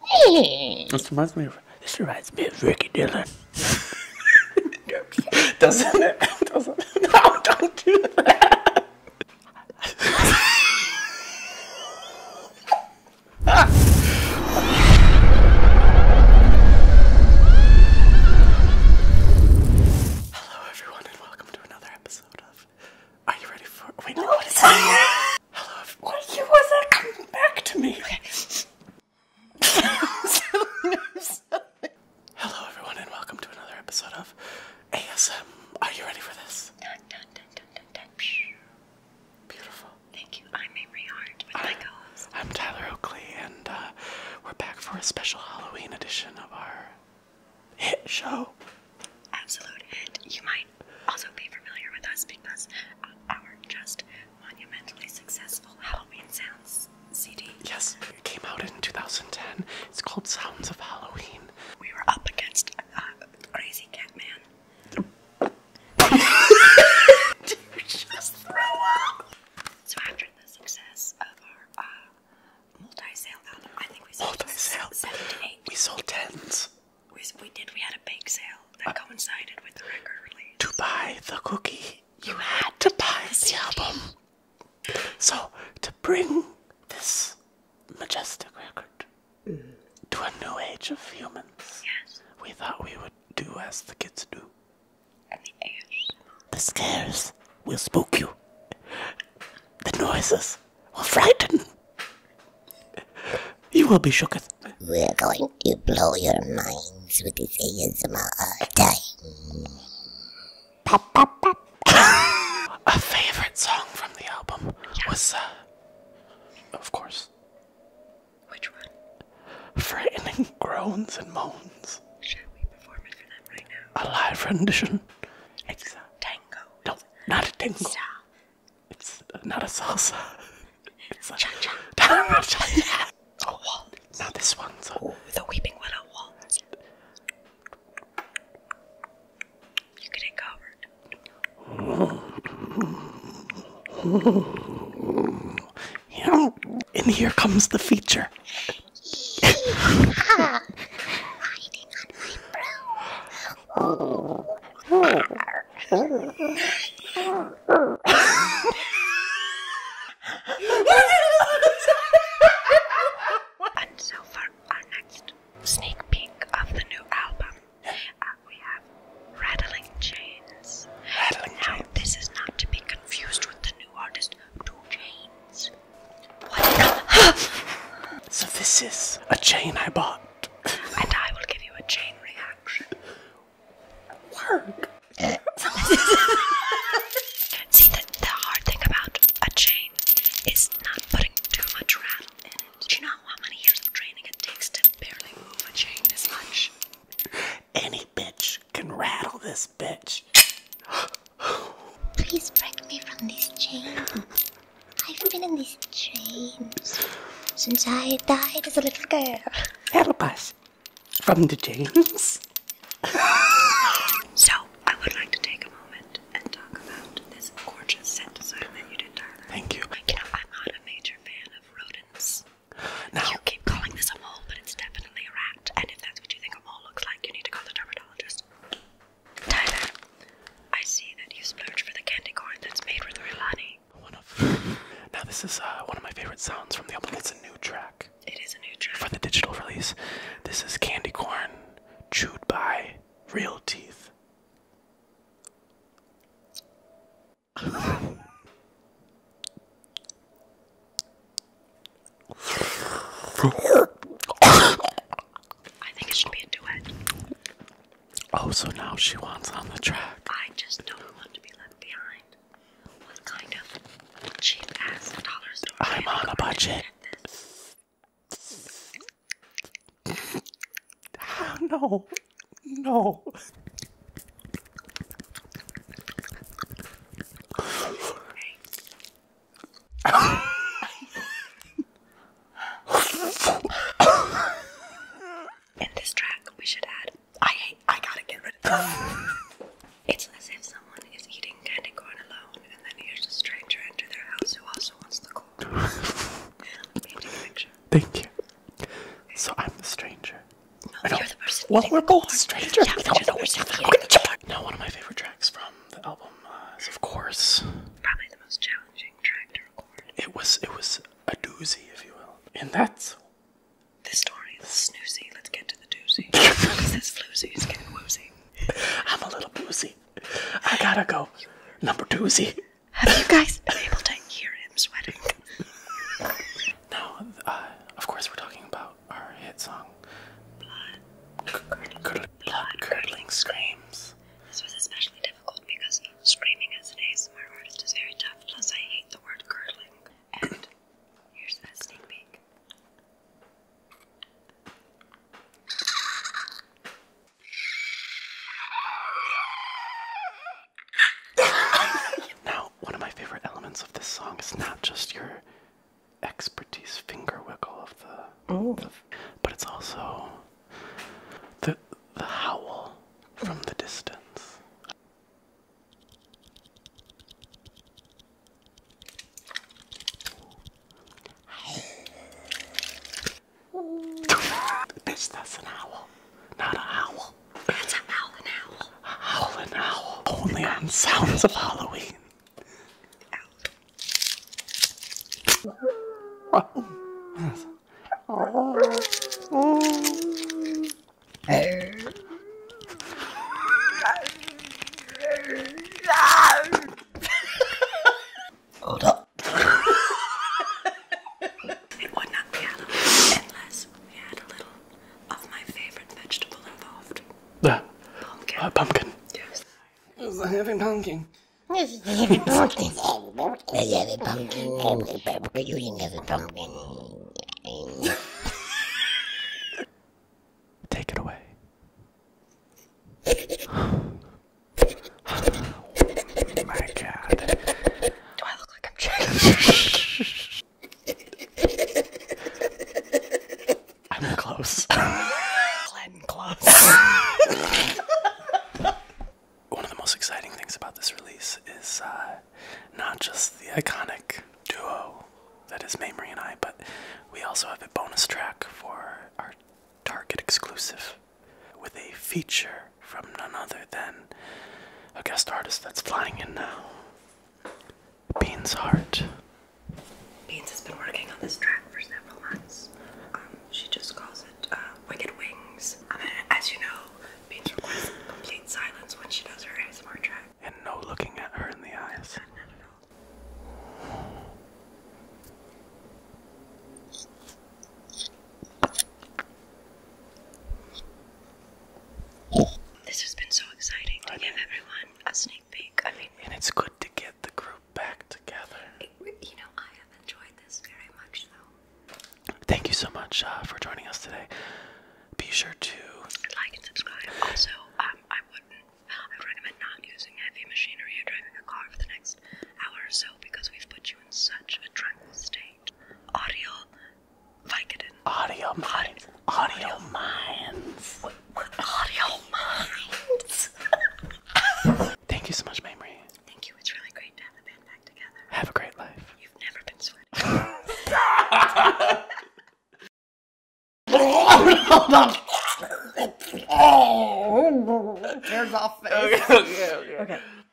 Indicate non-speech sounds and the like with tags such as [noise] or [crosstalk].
Hmm. This reminds me of this reminds me of Ricky Dillon. [laughs] doesn't it? [laughs] Doesn't it? No, don't do that. [laughs] Hello everyone and welcome to another episode of Are You Ready for Wait, no, what is that? Hello. Well, you wasn't coming back to me. [laughs] Hello, everyone, and welcome to another episode of ASM. Are you ready for this? Beautiful. Thank you. I'm Amory Hart I'm, Tyler Oakley, and uh, we're back for a special Halloween edition of our hit show. Absolute hit. You might also be familiar with us because our just monumentally successful Halloween Sounds CD. Yes, it came out in 2010. It's called Sounds of Halloween. We were up against uh, Crazy Catman. [laughs] Dude, just throw up! So after the success of our uh, multi-sale album. I think we sold multi seventy-eight. We sold tens. We, did. We had a bake sale that uh, coincided with the record release. To buy the cookie, you had to buy the, album. So to bring this majestic record to a new age of humans, we thought we would do as the kids do. the scares will spook you. The noises we or frightened, you will be shooketh. We're going to blow your minds with this ASMR time. Pop, A favorite song from the album was, uh, of course. Which one? Frightening groans and moans. Should we perform it for them right now? A live rendition. exactly. No, not a tango. It's not a salsa. It's a cha cha. Oh, waltz. Not this one. So. the Weeping Willow waltz. You get it covered. [laughs] Yeah. And here comes the feature yeah. Hiding on my broom. and so for our next sneak peek of the new album, uh, we have Rattling Chains. Rattling now, Chains. this is not to be confused with the new artist Two Chains. [gasps] so this is a chain I bought. and I will give you a chain reaction. Work. [laughs] See, the, the hard thing about a chain is not putting too much rattle in it. Do you know how many years of training it takes to barely move a chain this much? Any bitch can rattle this bitch. [gasps] [laughs] Please break me from this chain. I've been in these chains since I died as a little girl. Help us from the chains. so, I would like to take a moment and talk about this gorgeous set that you did, Thank you. I'm not a major fan of rodents. Now, you keep calling this a mole, but it's definitely a rat. And if that's what you think a mole looks like, you need to call the dermatologist. Tyler, I see that you splurged for the candy corn that's made with Rilani. One of. [laughs] Now this is uh, one of my favorite sounds from the album. It's a new track. It is a new track for the digital release. This is candy corn chewed by real teeth. [laughs] I think it should be a duet. Oh, so now she wants on the track. I just don't want to be left behind. What kind of cheap ass dollar store? I'm on a budget. [laughs] no, no. In this track, we should add I hate, I gotta get rid of It's as if someone is eating candy corn alone and then hears a stranger enter their house who also wants the corn. [laughs] Thank you. So I'm the stranger. No, you're the person. Well, we're both strangers. Yeah, we don't know Now, one of my favorite tracks from the album uh, is, of course, probably the most challenging track to record. It was, it was a doozy, if you will, and that's the story. Is snoozy. Let's get to the doozy. [laughs] he says floozy. He's woozy. I'm a little boozy. I gotta go. Number doozy. Have you guys been able to hear him sweating? [laughs] now, uh, of course, we're talking about our hit song. Blood curdling screams. This was especially difficult because screaming as an ASMR artist is very tough, plus I hate the word curdling. And here's that sneak peek. [laughs] Now, one of my favorite elements of this song is not just your expertise finger wiggle of the, but it's also the the howl from the distance. [laughs] Bitch, that's an owl, not a howl. That's a howlin' owl. A howlin' owl. Only on Sounds of Halloween. Ow. Yes. Oh. Oh. Hold up. [laughs] it would not be Halloween unless we had a little of my favorite vegetable involved. The pumpkin. Uh, pumpkin. Yes. Yes, a pumpkin. Yes, I pumpkin. I have pumpkin. I have pumpkin. Take it away. [sighs] my god. Do I look like I'm [laughs] I'm close. Glenn close. [laughs] One of the most exciting things about this release is uh, not just the iconic duo that is Mamrie and I, but we also have a bonus track for our Target exclusive with a feature from none other than a guest artist that's flying in now. Beans Heart. Beans has been working on this track for several months. Um, she just calls it uh, Wicked Wings. Um, as you know, Beans requires complete silence when she does her ASMR track. And no looking at her in the eyes. This has been so exciting to give everyone a sneak peek. I mean, and it's good to get the group back together. you know, I have enjoyed this very much, though. Thank you so much uh, for joining us today. Be sure to like and subscribe. Also, um, I wouldn't, I recommend not using heavy machinery or driving a car for the next hour or so because we've put you in such a tranquil state. Audio Audio Audio, audio minds. audio minds? [laughs] Thank you so much, Mamrie. Thank you. It's really great to have the band back together. Have a great life. You've never been sweaty. [laughs] [laughs] oh, no, face. okay. okay.